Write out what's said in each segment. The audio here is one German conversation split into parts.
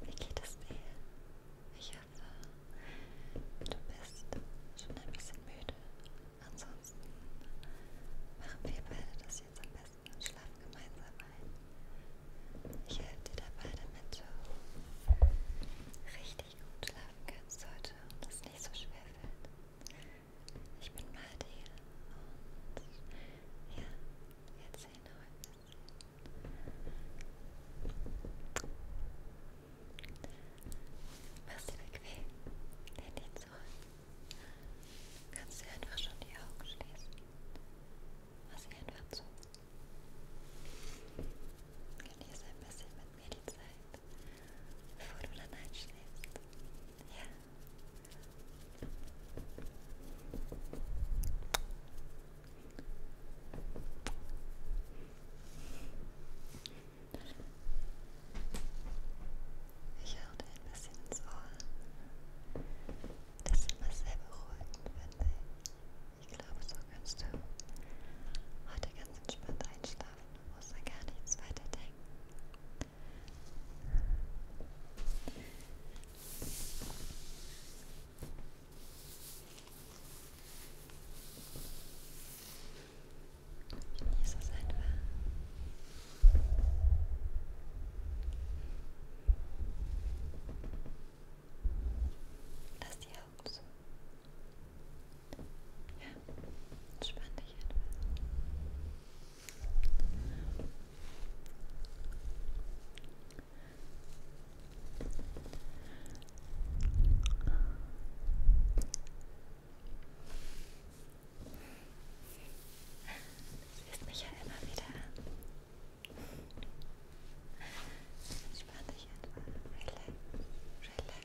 Wie geht es dir? Ich hoffe, du bist schon ein bisschen müde. Ansonsten machen wir beide das jetzt am besten und schlafen gemeinsam ein. Ich helfe dir dabei, damit du richtig gut schlafen kannst heute und es nicht so schwer fällt. Ich bin Martina und ja, wir erzählen noch ein bisschen. Machst dir bequem, lehn dich zurück. Kannst dir einfach schon die Augen schließen. Mach sie einfach zu. Genieße ein bisschen mit mir die Zeit, bevor du dann einschläfst. Ja. Ich höre dir ein bisschen ins Ohr. Das ist immer sehr beruhigend, finde ich. Ich glaube, so kannst du heute ganz entspannt einschlafen und musst an gar nichts weiter denken. Genieße es einfach. Lass die Augen zu. Ja, entspann dich etwas. Du siehst mich ja immer wieder an. Entspann dich etwas. Relax, relax.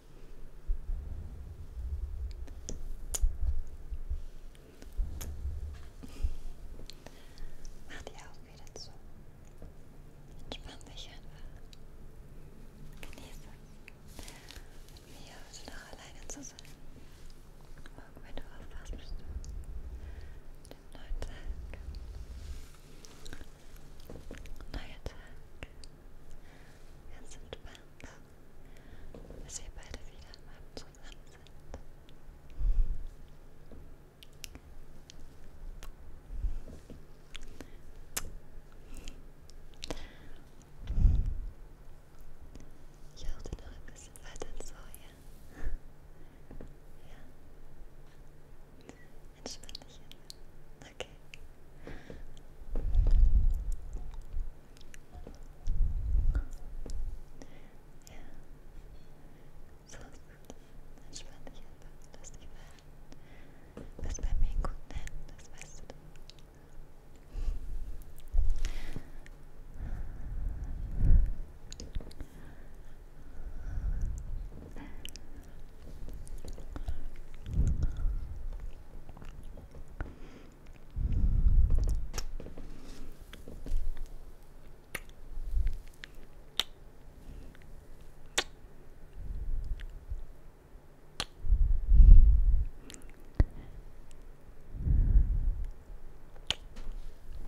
Mach die Augen wieder zu. Entspann dich einfach. Genieße es. Mit mir heute noch alleine zu sein. Morgen, wenn du aufpasst, bist du mit dem neuen Tag. Neuer Tag. Ganz entspannt. Dass wir beide wieder am Abend zusammen sind. Ich halte noch ein bisschen weiter ins Feuer. Ja. Entspann dich immer. Okay. Ja. So ist gut. Entspann dich einfach. Lass dich fallen. Was bei mir in guten Händen ist, weißt du doch.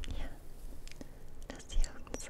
Ja, lass die Augen zu.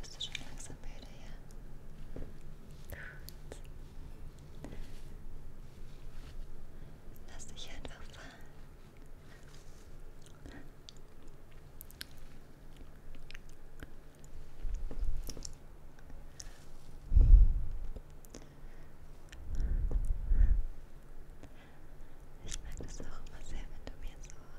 Wirst du schon langsam müde, ja? Gut. Lass dich einfach fallen. Ich mag das auch immer sehr, wenn du mir so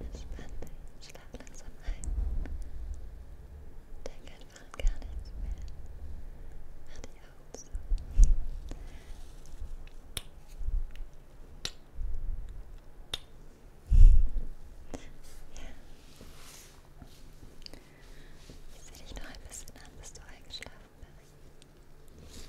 Entspann dich, schlaf langsam ein. Denk einfach an gar nichts mehr. Mach die Augen zu. Ja. Ich sehe dich noch ein bisschen an, bis du eingeschlafen bist.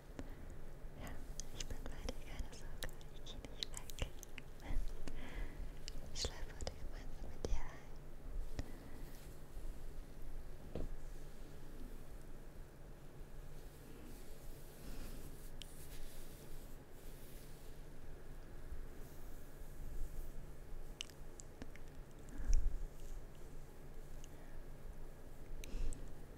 Ja, ich bin bei dir, keine Sorge, ich gehe nicht weg. Ich schlafe heute gemeinsam mit dir ein. Ich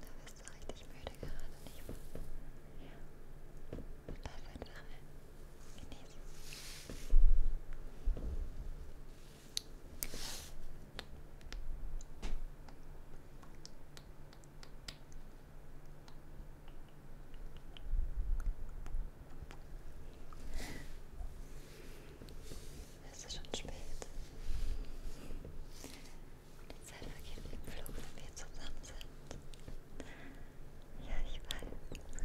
Da bist du richtig müde gerade, nicht wahr? Ja. Lass einfach rein. Genieße. Hm. Es ist schon spät. Die Zeit vergeht wie im Flug, wenn wir zusammen sind. Ja, ich weiß. Hm.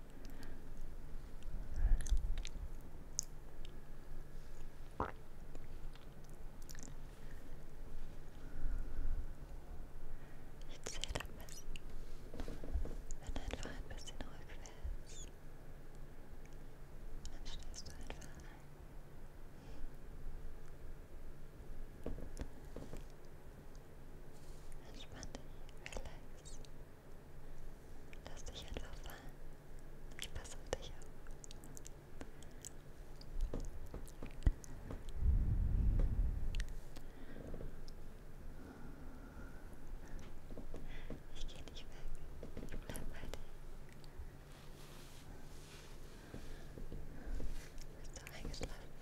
Ich zähle ein bisschen, wenn du einfach ein bisschen ruhig willst. Dann stellst du einfach ein. Entspann dich, relax. Lass dich einfach fallen. Ich passe auf dich auf. Ich gehe nicht weg. Ich bleib bei dir. Bist du eingeschlafen?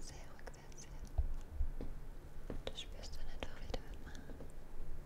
sehr rückwärts hier. Das spürst du dann doch wieder mit Mann.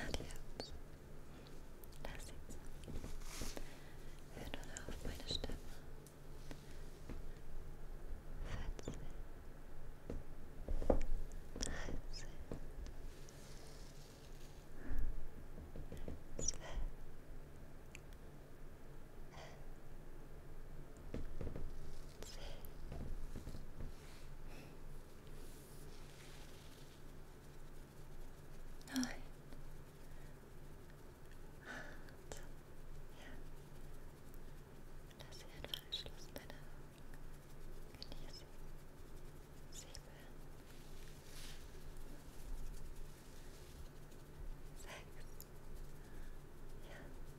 Adios. Lass ihn sein. Hör nun auf meine Stimme. Vierzehn. Dreizehn. Zwölf. Elf. Zehn. Neun. Acht. Ja. Lass sie einfach geschlossen, deine Augen. Genieße. Sieben. Sechs. Ja. Fünf.